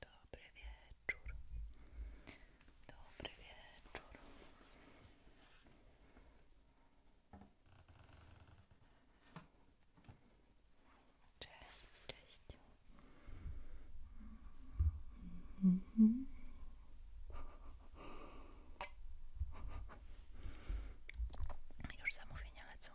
Dobry wieczór. Dobry wieczór. Cześć, cześć. Już zamówienia lecą.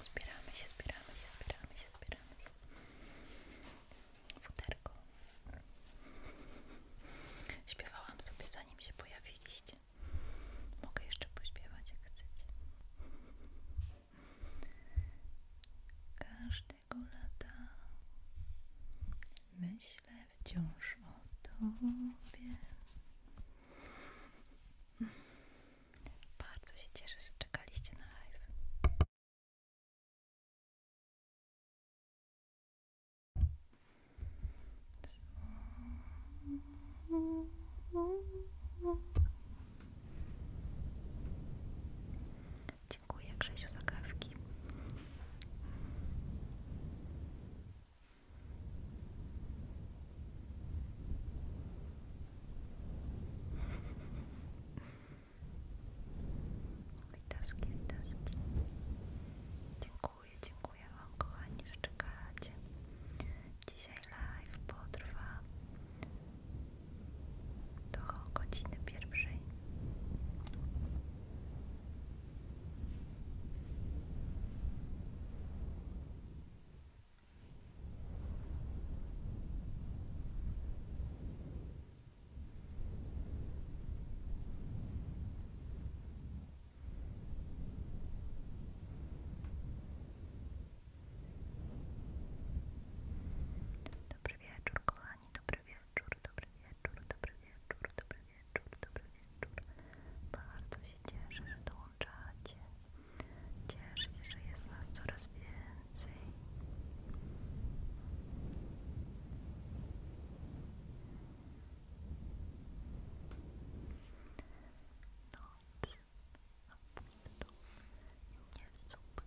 Zbieramy się, zbieramy się, zbieramy się, zbieramy się. Futerko. Śpiewałam sobie zanim się pojawiliście. Mogę jeszcze pośpiewać jak chcecie. Każdy tego lata myślę wciąż o Tobie. Bardzo się cieszę, że czekaliście na live. Dziękuję Grzesiu za kawki. Witaski, witaski. Dziękuję, dziękuję Wam kochani, że Dzisiaj live potrwa do godziny pierwszej. Dobry wieczór, kochani, dobry dobry wieczór, dobry wieczór, dobry wieczór, dobry wieczór, dobry wieczór. Bardzo się cieszę, że dołączacie. Cieszę się, że jest nas coraz więcej. Noc na nie zobaczy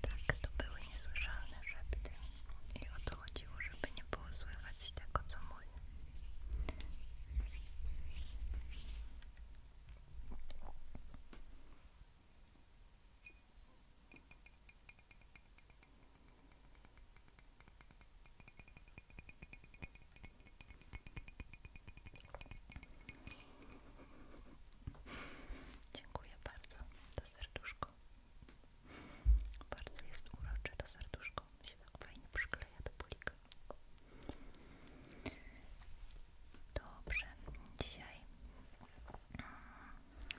Tak, to były niesłyszalne szepty i o to chodziło, żeby nie było słychać tego, co mój. Dziękuję bardzo to serduszko. Bardzo jest urocze to serduszko. Się tak fajnie przykleja do bulika. Dobrze, dzisiaj mm,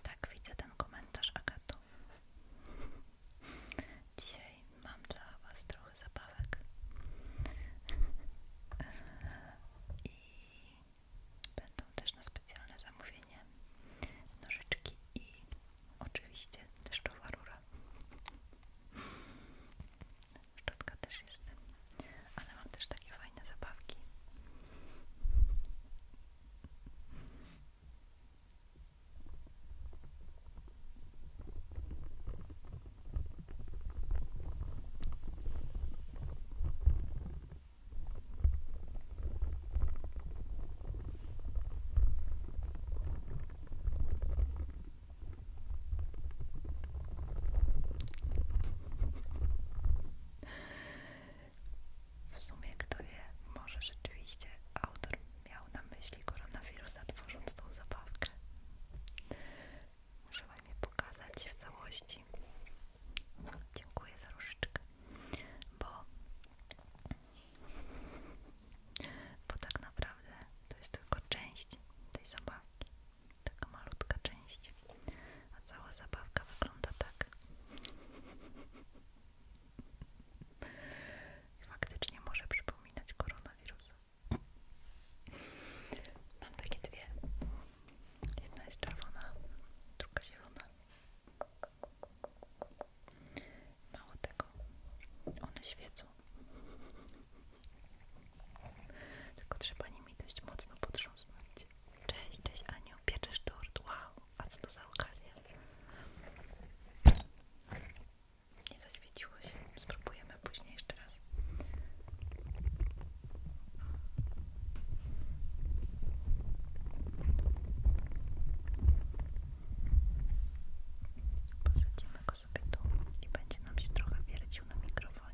tak widzę ten komentarz Agato. Dzisiaj mam dla Was trochę zabawek i będą też na specjalne zamówienie nożyczki i oczywiście deszczowa rura. Szczotka też jest, ale mam też takie fajne zabawki. W sumie, kto wie, może rzeczywiście autor miał na myśli koronawirusa, tworząc tą zabawkę. Muszę Wam je pokazać w całości. Dziękuję za różyczkę, bo, bo tak naprawdę to jest tylko część tej zabawki, taka malutka część, a cała zabawka wygląda tak. I faktycznie może przypominać koronawirusa. Mam takie dwie. Jedna jest czerwona, druga zielona. Mało tego, one świecą. Tylko trzeba nimi dość mocno potrząsnąć. Cześć, cześć Aniu, pieczesz tort, wow, a co to za okazja? Nie zaświeciło się. Spróbujemy później jeszcze raz. Posadzimy go sobie tu i będzie nam się trochę wiercił na mikrofonie.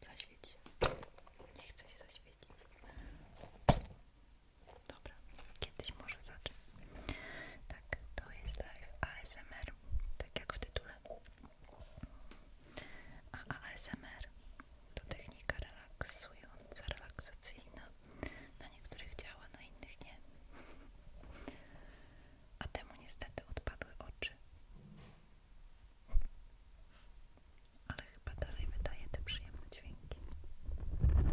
Zaświeć się. Nie chcę się zaświecić. Dobra, kiedyś może zacznę. Tak, to jest ASMR, tak jak w tytule. A ASMR to technika relaksująca, relaksacyjna. Na niektórych działa, na innych nie. A temu niestety odpadły oczy ale chyba dalej wydaje te przyjemne dźwięki. Myślę,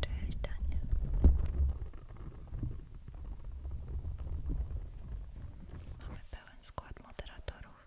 Cześć Daniel. Mamy pełen skład moderatorów.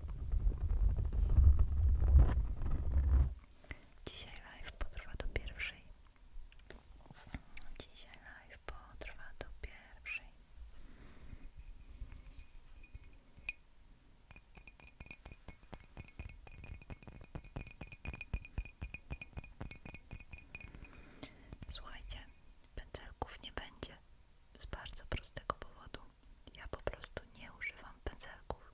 Dzisiaj live potrwa do pierwszej. Dzisiaj live potrwa do pierwszej. Słuchajcie, pędzelków nie będzie z bardzo prostego powodu. Ja po prostu nie używam pędzelków.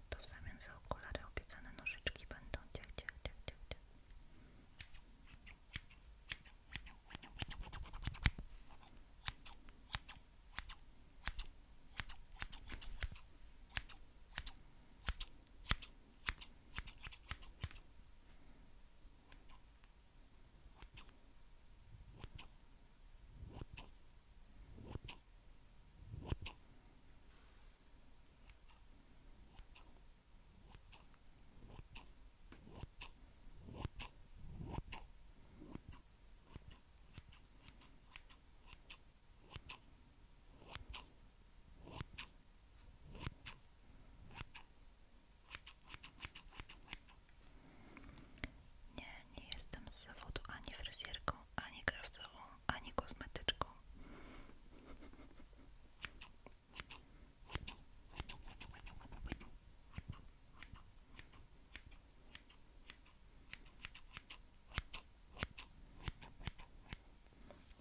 to w zamian za okulary obiecane nożyczki będą ciach, ciach, ciach, ciach, ciach. Nie, nie jestem zawodu ani fryzjerką, ani krawcową ani kosmetyczką.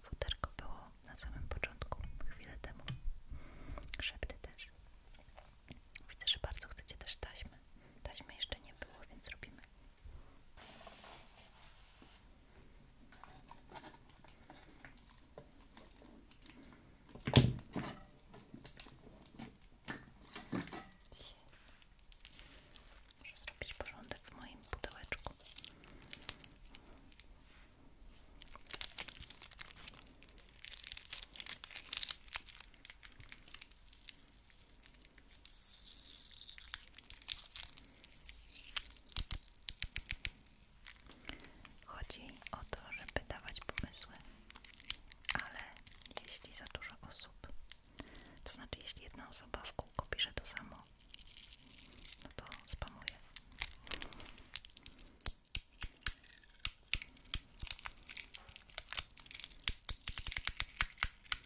Futerko było na samym początku, chwilę temu. Szepty też. Widzę, że bardzo chcecie też taśmy. Taśmy jeszcze nie było, więc robimy Muszę zrobić porządek w moim pudełeczku. Chodzi o to, żeby dawać pomysły, ale jeśli za dużo osób, to znaczy jeśli jedna osoba w kółko pisze to samo, no to spamuje.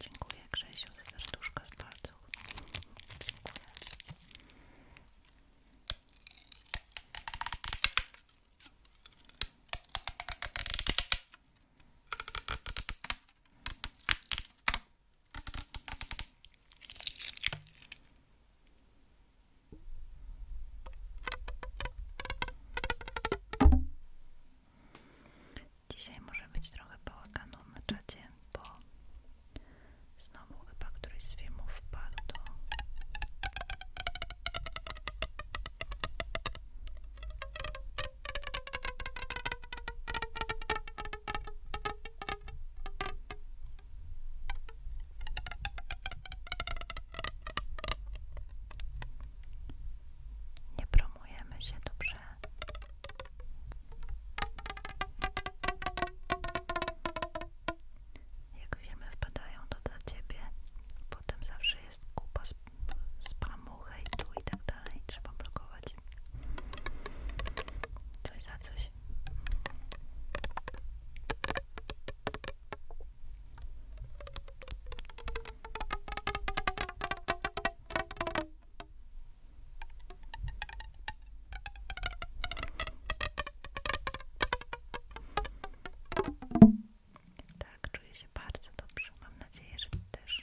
Dziękuję Grzesiu za serduszka z palców. Dziękuję. Dzisiaj może być trochę bałaganu na czacie, bo znowu chyba któryś z filmów wpadł do nie promujemy się dobrze. Jak wiemy, wpadają to dla ciebie. Potem zawsze jest kupa spamu, hejtu i tak dalej. Trzeba blokować Coś za coś. Tak, czuję się bardzo dobrze. Mam nadzieję, że ty też.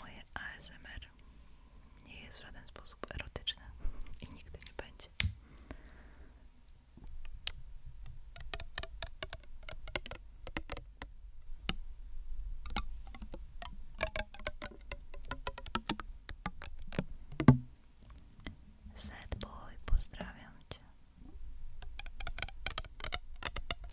Moje ASMR nie jest w żaden sposób erotyczne i nigdy nie będzie. Sad pozdrawiam cię.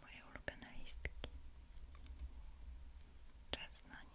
Moje ulubione listki. Czas na nie.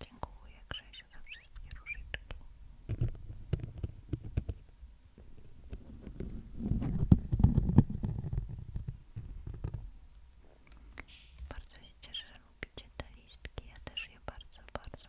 Dziękuję Grzesiu za wszystkie różyczki. Bardzo się cieszę, że lubicie te listki. Ja też je bardzo, bardzo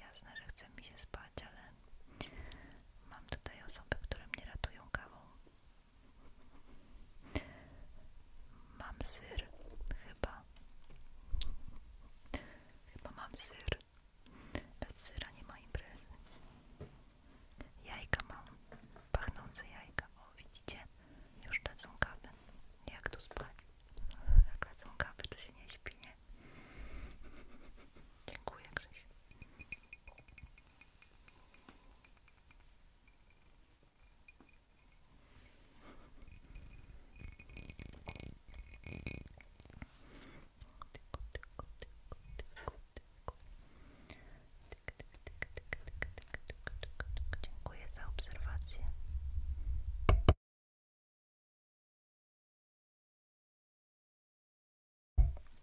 Jasne, że chce mi się spać, ale mam tutaj osoby, które mnie ratują kawą. Mam syr, chyba. Chyba mam syr. Bez syra nie ma imprezy. Jajka mam. Pachnące jajka. O, widzicie? Już lecą kawy. Jak tu spać? Jak kawę, to się nie śpi, nie? Dziękuję, Krzyś. Dziękuję za obserwację.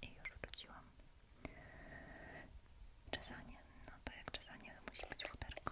I już wróciłam. Czesanie, no to jak czesanie musi być futerko.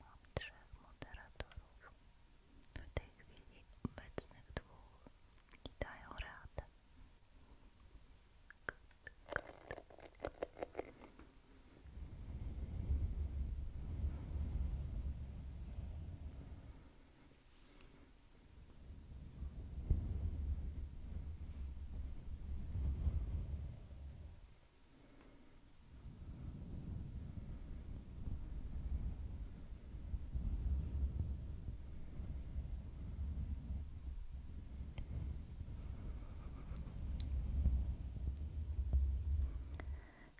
Mam trzech moderatorów, w tej chwili obecnych dwóch dają radę.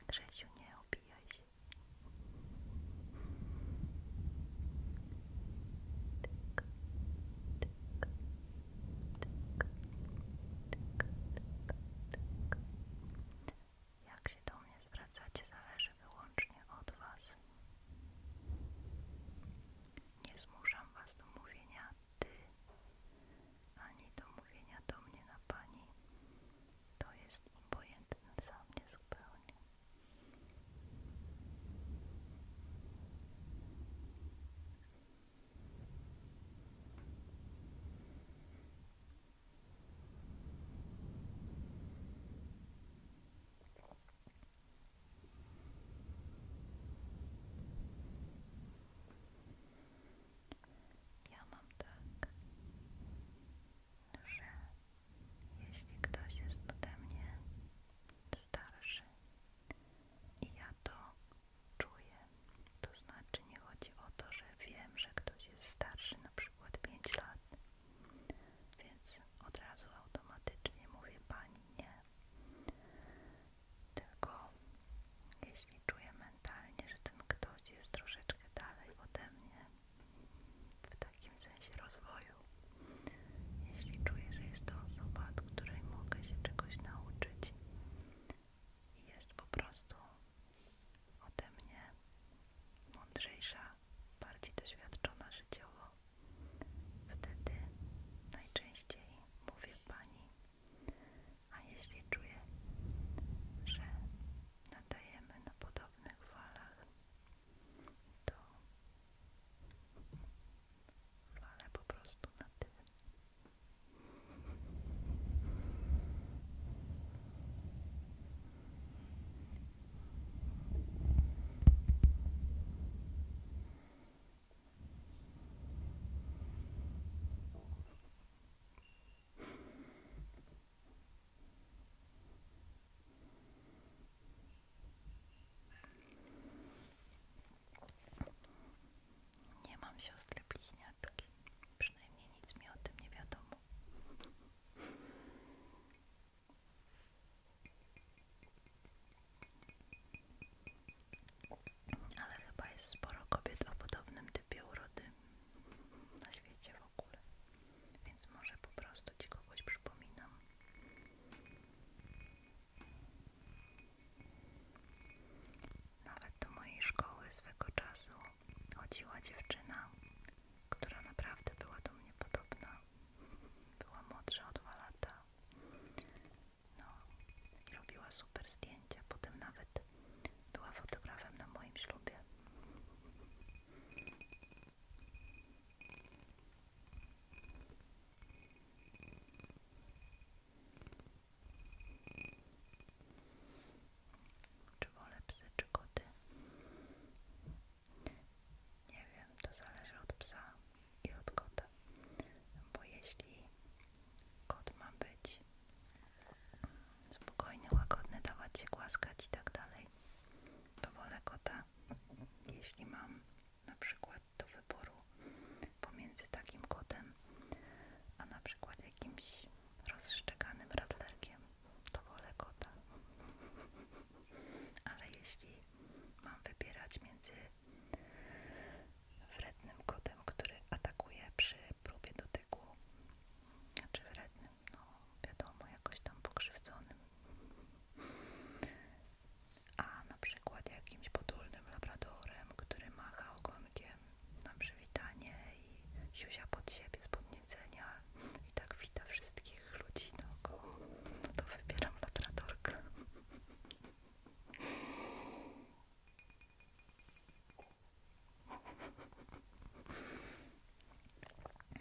Grzesiu, nie obijaj jak się do mnie zwracacie, zależy wyłącznie od Was. Nie zmuszam Was do mówienia Ty, ani do mówienia do mnie na Pani. To jest obojętne dla mnie zupełnie. Ja mam tak, że jeśli ktoś jest ode mnie starszy i ja to czuję, to znaczy nie chodzi o to, że wiem, że ktoś jest starszy, na przykład 5 lat, więc od razu automatycznie mówię pani nie. Tylko jeśli czuję mentalnie, że ten ktoś jest troszeczkę dalej ode mnie w takim sensie rozwoju. Jeśli czuję, że jest to osoba, od której mogę się czegoś nauczyć i jest po prostu ode mnie mądrzejsza, bardziej doświadczona życiowo, wtedy najczęściej mówię pani. A jeśli czuję, że nadajemy na podobnych falach to fale po prostu na nie mam siostry bliźniaczki, przynajmniej nic mi o tym nie wiadomo. Ale chyba jest sporo kobiet o podobnym typie urody na świecie w ogóle. Więc może po prostu ci kogoś przypominam. Nawet do mojej szkoły swego czasu chodziła dziewczyna, która naprawdę była do mnie podobna. Była młodsza o dwa lata. No, robiła super zdjęcia. Potem nawet była fotografem na moim ślubie. Czy wolę psy, czy Nie wiem, to zależy od psa i od kota. Bo jeśli kot ma być spokojny, łagodny, dawać się głaskać i tak dalej. To wolę kota, jeśli mam na przykład do wyboru pomiędzy takim kotem, a na przykład jakimś rozszczekanym radlerkiem, to wolę kota. Ale jeśli mam wybierać między wrednym kotem, który atakuje przy próbie dotyku, czy wrednym no wiadomo, jakoś tam pokrzywdzonym, a na przykład jakimś podulnym labradorem, który macha ogonkiem na przywitanie i siusia pod siebie z podniecenia i tak wita wszystkich ludzi naokoło, no to wybieram labradorkę.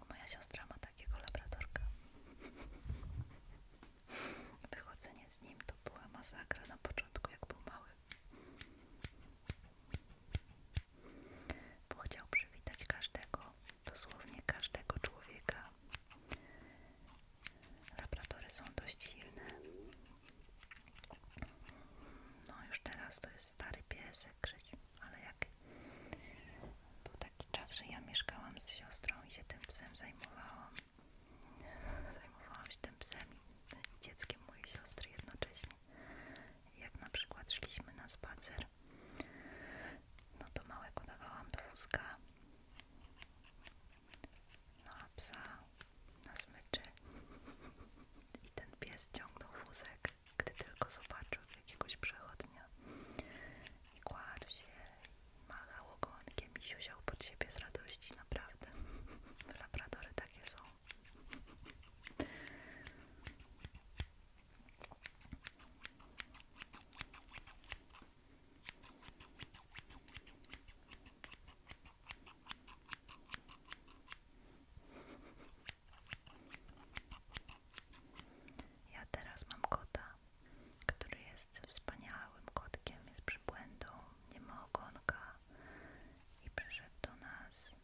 Moja siostra ma takiego labradorka. Wychodzenie z nim to była masakra na początku, jak był mały. Bo przywitać każdego, dosłownie każdego człowieka. Labradory są dość silne. No już teraz to jest stary piesek Krzyć, ale jak był taki czas, że ja mieszkałam z siostrą i się tym psem zajmowałam. Zajmowałam się tym psem i dzieckiem mojej siostry jednocześnie. Jak na przykład szliśmy na spacer, no to małe dawałam do wózka, no a psa na smyczy i ten pies ciągnął wózek gdy tylko zobaczył jakiegoś przechodnia. I kładł się, i machał ogonkiem i siusiał pod siebie z radości, naprawdę. Labradory takie są. Ja teraz mam kota, który jest wspaniałym kotkiem, jest przybłędą, nie ma ogonka i przyszedł do nas.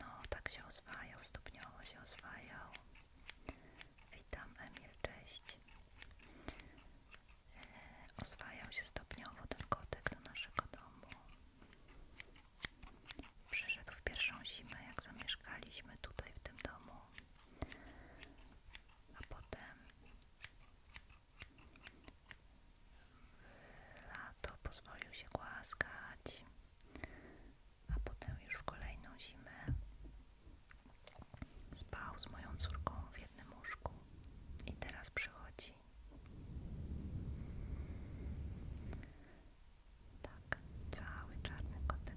No, tak się oswajał, stopniowo się oswajał. Witam Emil, cześć. E, oswajał się stopniowo ten kotek do naszego domu. Przyszedł w pierwszą zimę, jak zamieszkaliśmy tutaj w tym domu, a potem lato pozwolił się głaskać, a potem już w kolejną zimę spał z moją córką w jednym łóżku i teraz przychodzi tak, cały czarny kotek.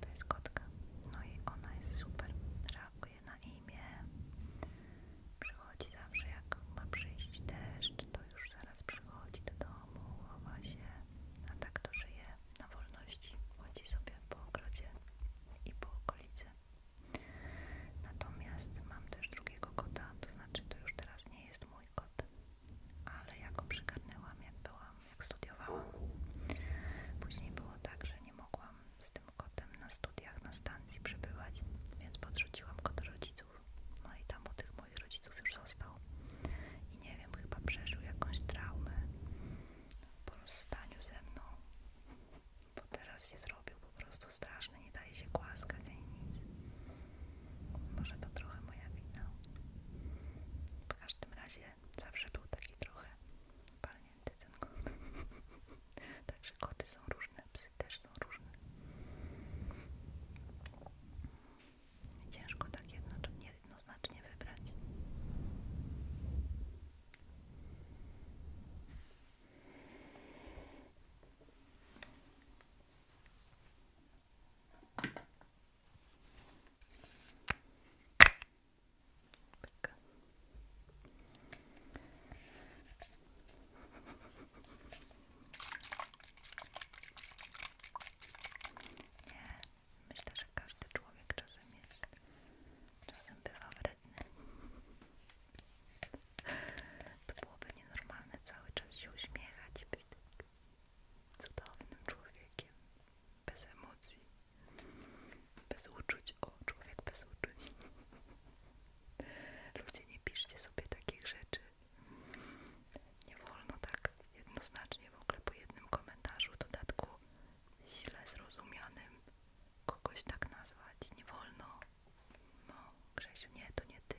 To jest kotka. No i ona jest super. Reaguje na imię. Przychodzi zawsze jak ma przyjść deszcz, to już zaraz przychodzi do domu, chowa się. A tak to żyje na wolności. Chodzi sobie po ogrodzie i po okolicy. Natomiast mam też drugiego kota, to znaczy to już teraz nie jest mój mój kot, ale ja go przygarnęłam jak byłam, jak studiowałam. Później było tak, że nie mogłam z tym kotem na studiach na stacji przebywać, więc podrzuciłam go do rodziców. No i tam u tych moich rodziców już został. I nie wiem, chyba przeżył jakąś traumę po rozstaniu ze mną, bo teraz się zrobił po prostu straszny, nie daje się głaskać ani nic. Może to trochę moja wina. W każdym razie zawsze był taki trochę palnięty ten kot. Także koty są różne, psy też są różne. Ciężko tak jednoznacznie wybrać. Pyk. Nie, myślę, że każdy człowiek czasem jest, czasem bywa wredny. To byłoby nienormalne cały czas się uśmiechać, być takim cudownym człowiekiem, bez emocji, bez uczuć. O, człowiek bez uczuć. Ludzie, nie piszcie sobie takich rzeczy. Nie wolno tak jednoznacznie w ogóle po jednym komentarzu, dodatku źle zrozumianym kogoś tak nazwać. Nie wolno. No, Grzesiu, nie, to nie ty.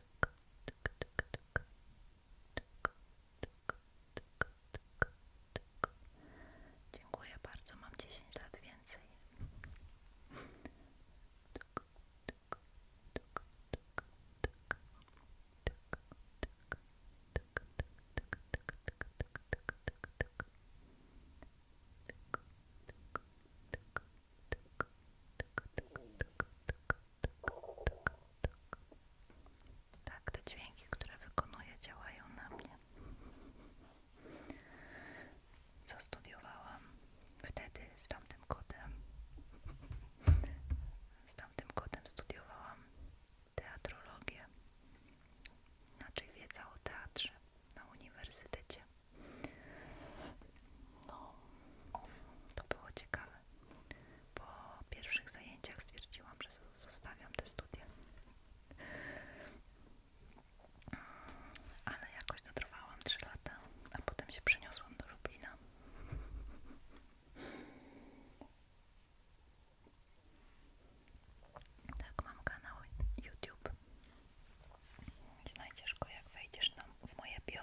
Dziękuję bardzo, mam dziesięć lat więcej. Tak, te dźwięki, które wykonuję, działają na mnie. Co studiowałam wtedy z tamtym kotem? Z tamtym kotem studiowałam teatrologię, znaczy wiedza o teatrze na uniwersytecie. No, to było ciekawe. Po pierwszych zajęciach stwierdziłam, że zostawiam te studia. Ale jakoś dotrwałam 3 lata, a potem się przeniosłam do Lublina. Tak, mam kanał YouTube. Znajdziesz go, jak wejdziesz tam w moje bio.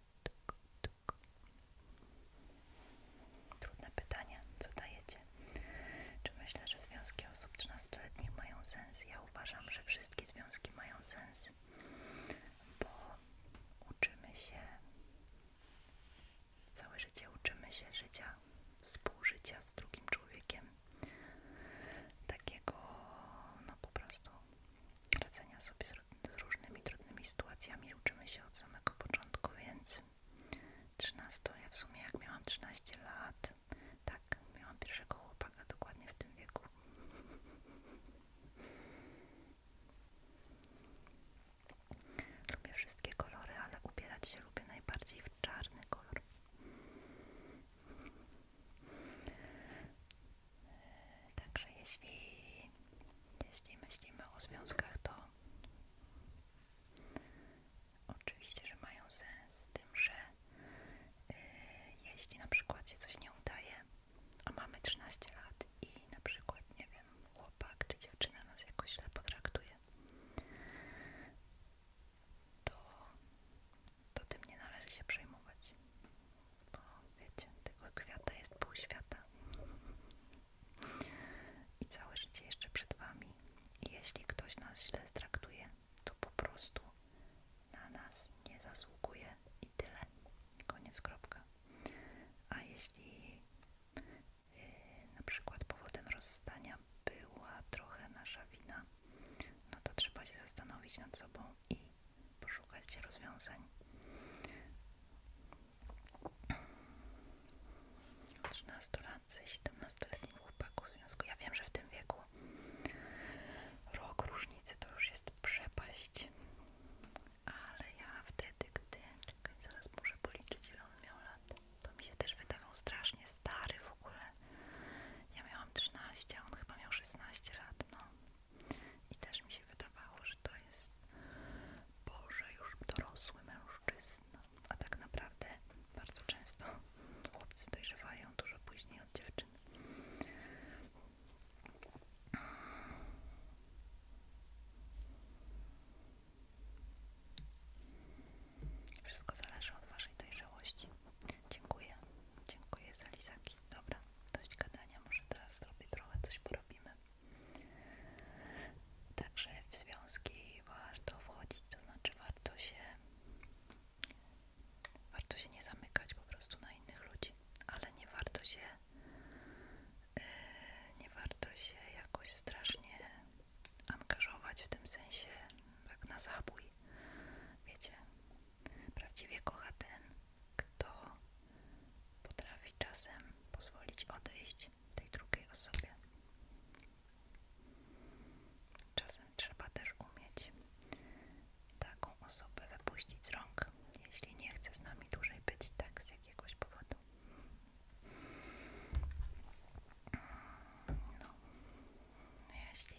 Trudne pytanie Co dajecie? Czy myślę, że związki osób trzynastoletnich mają sens? Ja uważam, że wszystkie związki mają sens, bo uczymy się, całe życie uczymy się życia, współżycia z drugim człowiekiem. Takiego, no po prostu radzenia sobie z z różnymi trudnymi sytuacjami uczymy się od samego początku, więc 13, ja w sumie jak miałam 13 lat, tak, miałam pierwszego chłopaka dokładnie w tym wieku. Lubię wszystkie kolory, ale ubierać się lubię najbardziej w czarny kolor. Także jeśli jeśli myślimy o związkach, to oczywiście, że mają sens, z tym, że y, jeśli na przykład się coś nie udaje, a mamy 13 lat i na przykład, nie wiem, chłopak czy dziewczyna nas jakoś źle potraktuje, to, tym nie należy się przejmować. Bo wiecie, tego kwiata jest pół świata i całe życie jeszcze przed Wami. jeśli ktoś nas źle traktuje, to po prostu na nas nie zasługuje i tyle. Koniec, kropka. A jeśli yy, na przykład powodem rozstania była trochę nasza wina, no to trzeba się zastanowić nad sobą i poszukać rozwiązań. 13-latcy, 17-letni chłopaku w związku. Ja wiem, że w tym wieku rok różnicy to już jest przepaść, ale ja wtedy, gdy, czekaj, zaraz muszę policzyć ile on miał lat, to mi się też wydawał strasznie stary w ogóle. Ja miałam 13, on chyba miał 16 lat, no. I też mi się się że to jest Boże, już dorosły mężczyzna. A tak naprawdę bardzo często chłopcy dojrzewają dużo później od dziewczyn. Wszystko zależy od Waszej dojrzałości. Dziękuję. Dziękuję za lizaki. Dobra, dość gadania. Może teraz zrobię trochę, coś porobimy. Także w związki warto wchodzić, to znaczy warto się warto się nie zamykać po prostu na innych ludzi, ale nie warto się e, nie warto się jakoś strasznie angażować w tym sensie tak na zabój. Wiecie, prawdziwie kocha ten, kto potrafi czasem pozwolić odejść tej drugiej osobie. Czasem trzeba też umieć taką osobę wypuścić z rąk, jeśli nie chce z nami dłużej być, tak z jakiegoś powodu. No, jeśli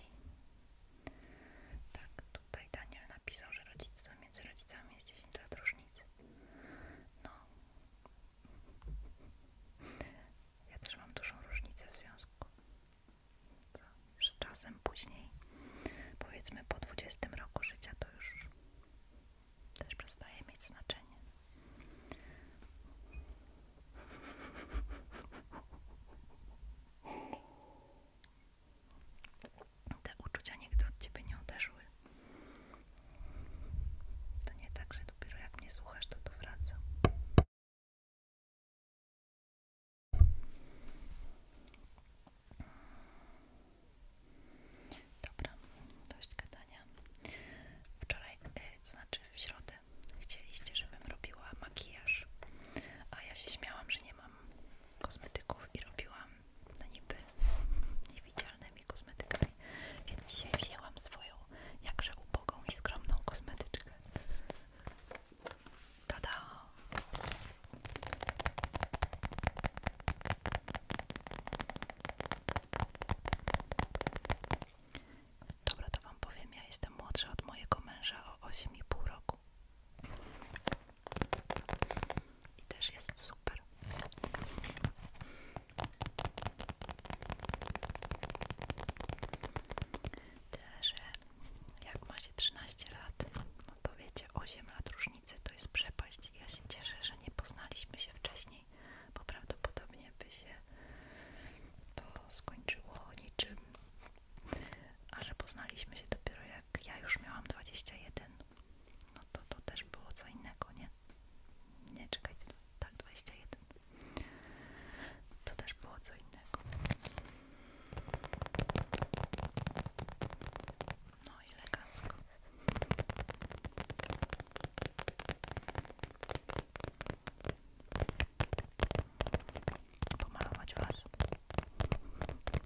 tak, tutaj Daniel napisał, że rodzictwo między rodzicami jest 10 lat różnicy. No. Ja też mam dużą różnicę w związku. Co? Już z czasem później, powiedzmy po dwudziestym roku życia, to już też przestaje mieć znaczenie te uczucia nigdy od ciebie nie uderzyły. To nie tak, że dopiero jak mnie słuchasz, to tu wracam. Dobra, dość gadania. Wczoraj, y, to znaczy w środę, chcieliście, żebym robiła makijaż, a ja się śmiałam, że nie mam kosmetyków i robiłam no niby niewidzialnymi kosmetykami, więc dzisiaj wzięłam swoją jakże ubogą i skromną kosmetyczkę. Tada! Dobra, to Wam powiem, ja jestem młodsza od mojego męża o 8,5 roku. I też jest super. Tyle, że jak ma się 13 lat, no to wiecie, 8 lat różnicy to jest przepaść. Ja się cieszę, że nie poznaliśmy się wcześniej, bo prawdopodobnie by się to skończyło niczym. A że poznaliśmy się dopiero ja ja już miałam dwadzieścia jeden, no to to też było co innego, nie? Nie, czekaj, tak, dwadzieścia jeden, To też było co innego. No elegancko. Pomalować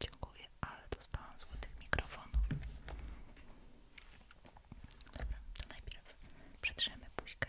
Dziękuję, ale dostałam złotych mikrofonów. Dobra, to najpierw przetrzemy buźkę.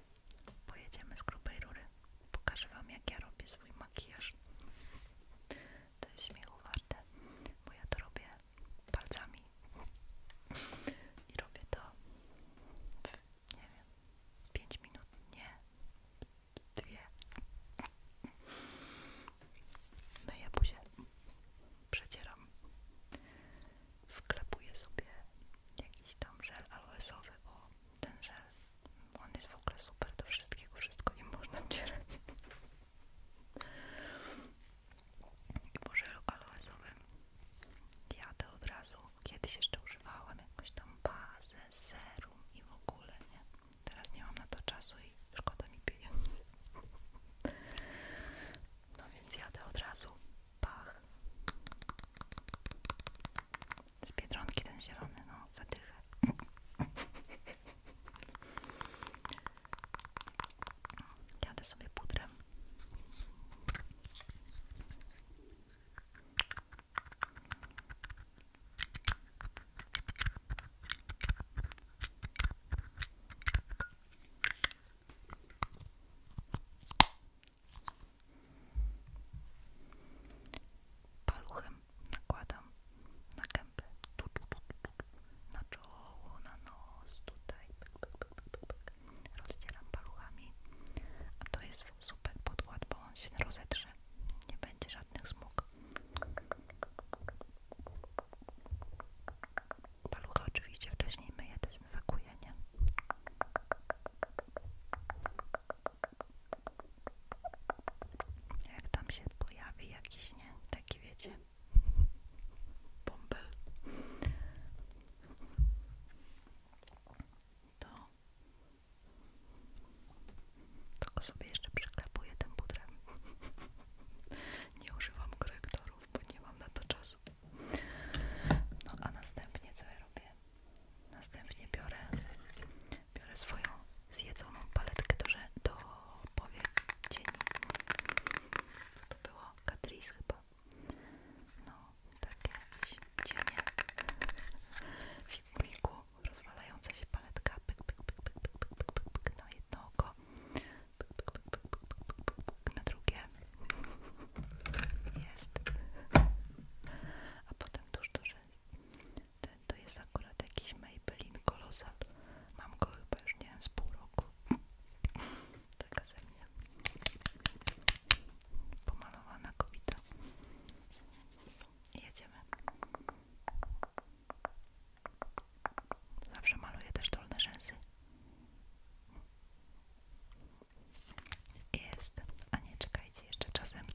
Pojedziemy z grubej rury. Pokażę Wam, jak ja robię swój makijaż. To jest śmiechu warte, bo ja to robię palcami. I robię to w, nie wiem, 5 minut, nie, dwie. Myję no buzię, przecieram, wklepuję sobie jakiś tam żel aloesowy o ten żel. On jest w ogóle super do wszystkiego, wszystko nie można wcierać. Może po żelu jadę od razu. Kiedyś jeszcze używałam jakąś tam bazę, serum i w ogóle, nie? Teraz nie mam na to czasu i szkoda mi pieniędzy. No więc jadę od razu. Pach z Biedronki ten zielony, no, zadychę. Jadę sobie pudrem. Paluchem nakładam na gębę, na czoło, na nos, tutaj. Rozdzielam paluchami, a to jest super podkład, bo on się rozetrze, nie będzie żadnych smug. Paluchy oczywiście wcześniej myję, dezynfekuję, nie? Jak tam się pojawi jakiś, nie? Taki wiecie, bąbel. To tylko sobie jeszcze przyklepuję tym pudrem. Nie używam korektorów, bo nie mam na to czasu. No a następnie co ja robię? Następnie biorę, biorę swoją zjedzoną paletkę do, do powiek cieni. to było? Catrice chyba. No, takie cienie w filmiku, rozwalająca się paletka na jedno oko, pyk, na drugie jest a potem tuż to, że ten to jest akurat jakiś Maybelline kolosal. mam go chyba już nie wiem z pół roku taka ze mnie pomalowana kobieta jedziemy zawsze maluję też dolne rzęsy jest, a nie czekajcie jeszcze czasem,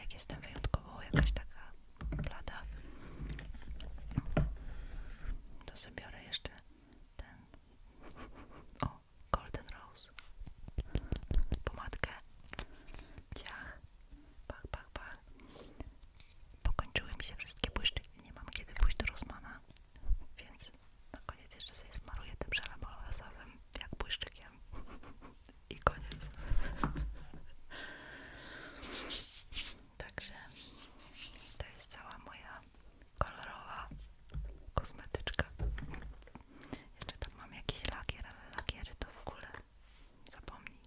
jak jestem wyjątkowo jakaś taka blada, to sobie biorę jeszcze ten, o, Golden Rose, pomadkę, ciach, pach, pach, pach, pokończyły mi się wszystkie błyszczyki, nie mam kiedy pójść do Rosmana, więc na koniec jeszcze sobie smaruję tym żelem olejowym, jak błyszczykiem. I koniec. Także to jest cała moja kolorowa kosmetyczka. Jeszcze tam mam jakiś lakier, ale lakiery to w ogóle zapomnij.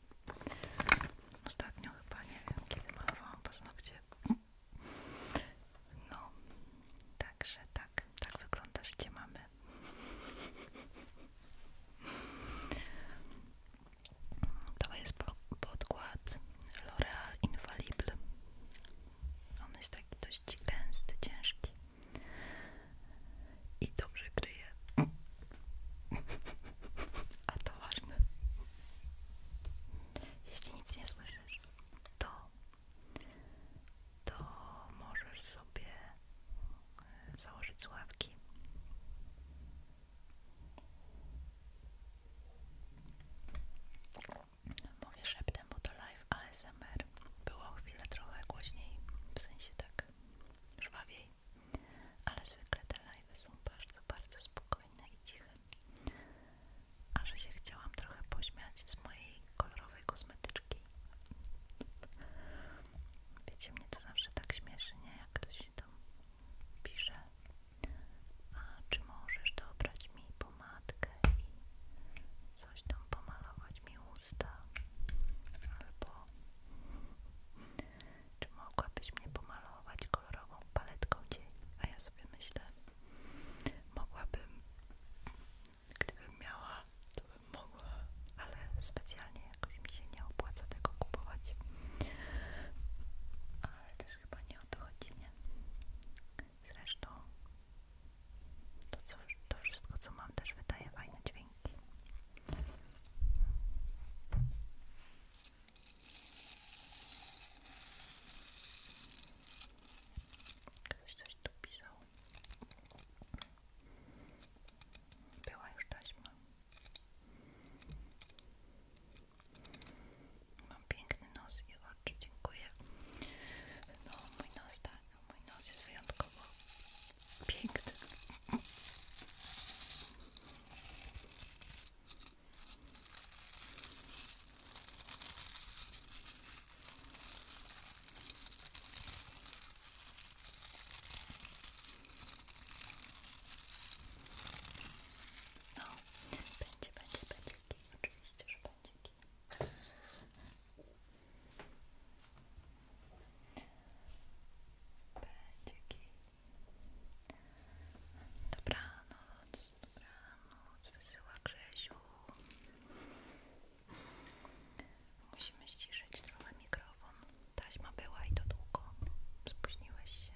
Ostatnio chyba nie wiem, kiedy malowałam paznokcie. No, także tak. Tak, tak wygląda życie mamy. To jest podkład L'Oreal Infallible. On jest taki dość gęsty, ciężki i dobrze kryje. A to ważne. Jeśli nic nie słyszysz, to to możesz sobie e, założyć słuchawki. Mówię szeptem, bo to live ASMR. Było chwilę trochę głośniej, w sensie tak żwawiej, ale zwykle te live są bardzo, bardzo spokojne i ciche. A że się chciałam trochę pośmiać z mojej kolorowej kosmetyczki Wiecie, mnie to zawsze tak śmieszy, nie? Jak ktoś się tam pisze a czy możesz dobrać mi pomadkę i coś tam pomalować mi usta albo czy mogłabyś mnie pomalować kolorową paletką dzień? A ja sobie myślę, mogłabym Gdybym miała, to bym mogła, ale specjalnie jakoś mi się nie opłaca tego kupować. Ale też chyba nie o nie? Zresztą to, co, to wszystko, co mam, też wydaje fajne dźwięki. Ktoś coś tu pisał. Była już taśma. Mam piękny nos i oczy, dziękuję. No, mój nos tak, mój nos jest wyjątkowo piękny. No, będzie, będzie, będzie kij, oczywiście, że będzie kij. Będzie kij. Dobranoc, dobranoc, wysyła Grzesiu. Musimy ściszyć trochę mikrofon. Taśma była i to długo. Spóźniłeś się.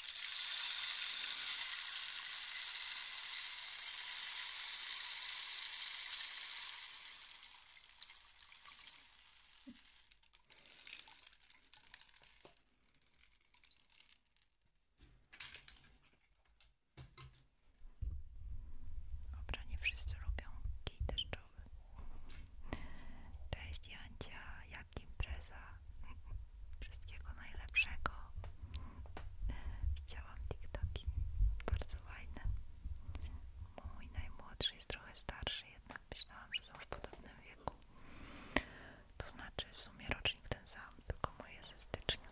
Dobra, nie wszyscy lubią kij deszczowy. Cześć Jancia, jak impreza? Wszystkiego najlepszego. Widziałam TikToki bardzo fajne. Mój najmłodszy jest trochę starszy, jednak myślałam, że są w podobnym wieku. To znaczy w sumie rocznik ten sam, tylko mój jest ze stycznia.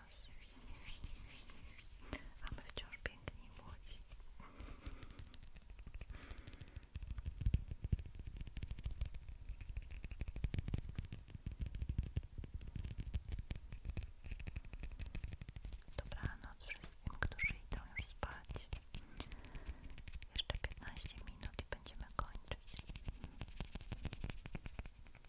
nas. A my wciąż piękni i młodzi. Dobranoc wszystkim, którzy już spać. Jeszcze 15 minut i będziemy kończyć.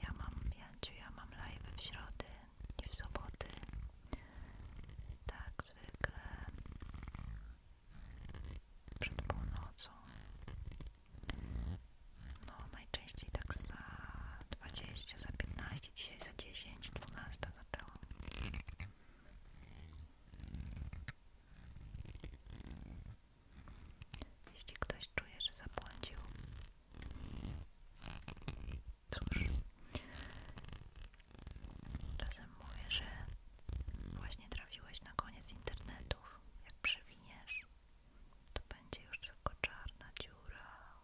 Ja mam, Janciu, ja mam live w środę i w soboty. Tak zwykle przed północą. No najczęściej tak za dwadzieścia za piętnaście, dzisiaj za 10, 12 zaczęłam. Jeśli ktoś czuje, że zapłacił, cóż, czasem mówię, że właśnie trafiłeś na koniec internetów. Jak przewiniesz, to będzie już tylko czarna dziura,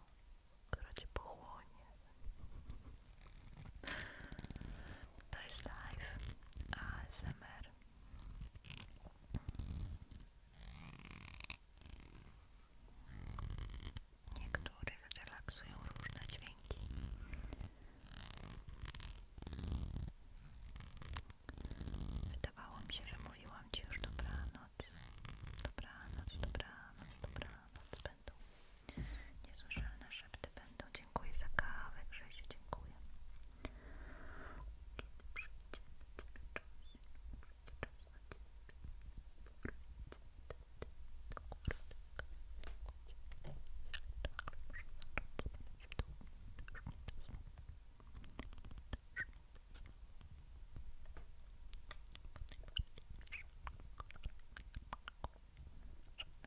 która cię pochłonie. To jest live ASMR. Niektórych relaksują różne dźwięki. Wydawało mi się, że mówiłam Ci już dobranoc. Dobranoc, dobranoc, dobranoc będą. Niesłyszalne szepty będą dziękuję za kawę, Grzesiu, dziękuję. Kiedy przyjdzie na Ciebie czas, przyjdzie czas na Ciebie, Dziękuję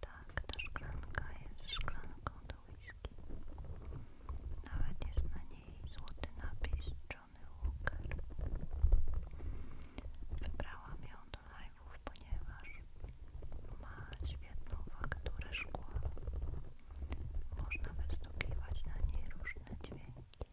Tak, ta szklanka jest szklanką do whisky. Nawet jest na niej złoty napis Johnny Walker. Wybrałam ją do live'ów, ponieważ ma świetną fakturę szkła. Można wystukiwać na niej różne dźwięki.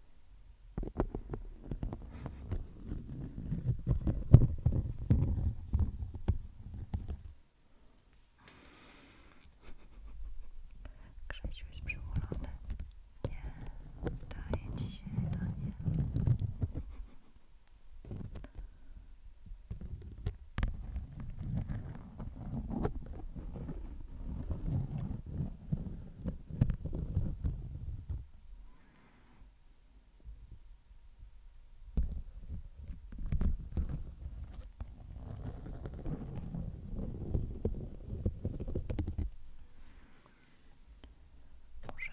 Krzysiu jest przyulony. Nie, daje ci się, a nie. Dobrze. Muszę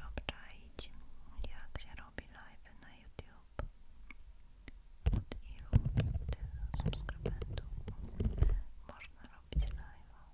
obczaić, jak się robi live na YouTube. Od ilu tych subskrybentów można robić live?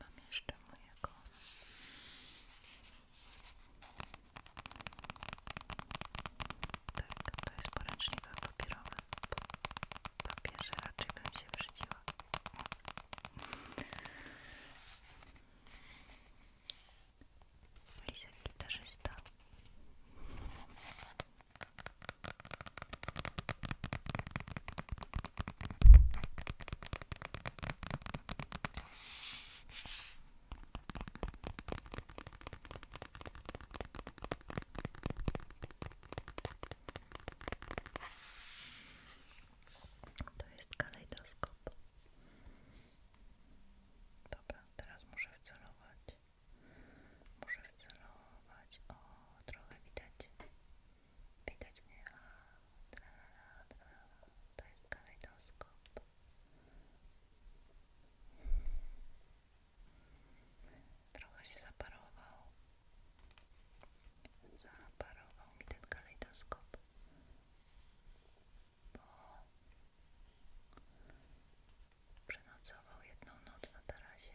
Mam jeszcze mojego. Tak, to jest poręcznika papierowy. Papierze raczej bym się brzydziła. Lisek gitarzysta. To jest kalejdoskop. Dobra, teraz muszę wcelować. Muszę wcelować. O, trochę widać. Widać mnie, a tralala, tralala. to jest kalejdoskop. Trochę się zaparował. Zaparował mi ten kalejdoskop. Bo przenocował jedną noc na tarasie.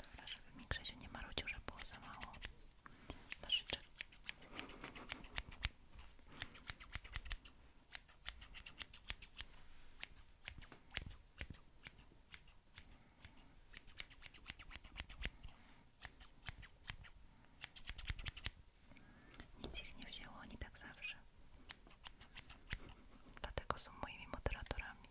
Dobra, żeby mi Krzysiu nie marudził, że było za mało nożyczek. Nic ich nie wzięło, nie tak zawsze. Dlatego są moimi moderatorami.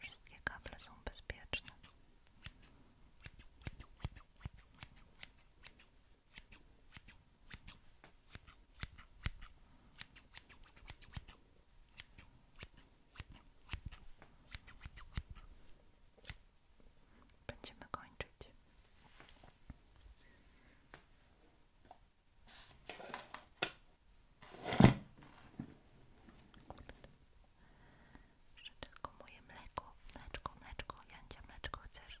Wszystkie kable są bezpieczne. Będziemy kończyć. Jeszcze tylko moje mleko, mleczko, mleczko, Jancia, mleczko chcesz?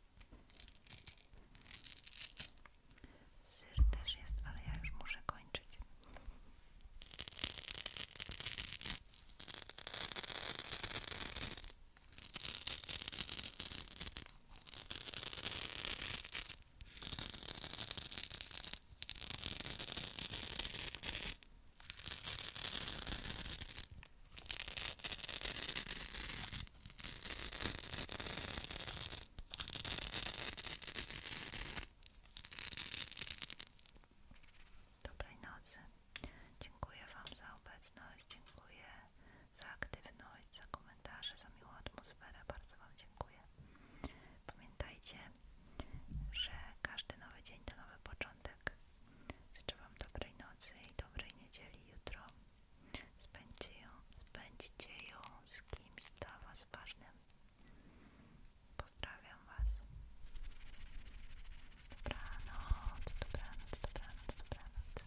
Syr też jest, ale ja już muszę kończyć. Dobrej nocy. Dziękuję Wam za obecność, dziękuję za aktywność, za komentarze, za miłą atmosferę. Bardzo Wam dziękuję. Pamiętajcie, że każdy nowy dzień to nowy początek. Życzę Wam dobrej nocy i dobrej niedzieli jutro. Spędźcie ją, spędzicie ją z kimś dla Was ważnym. Pozdrawiam Was. Dobranoc, dobranoc, dobranoc, dobranoc.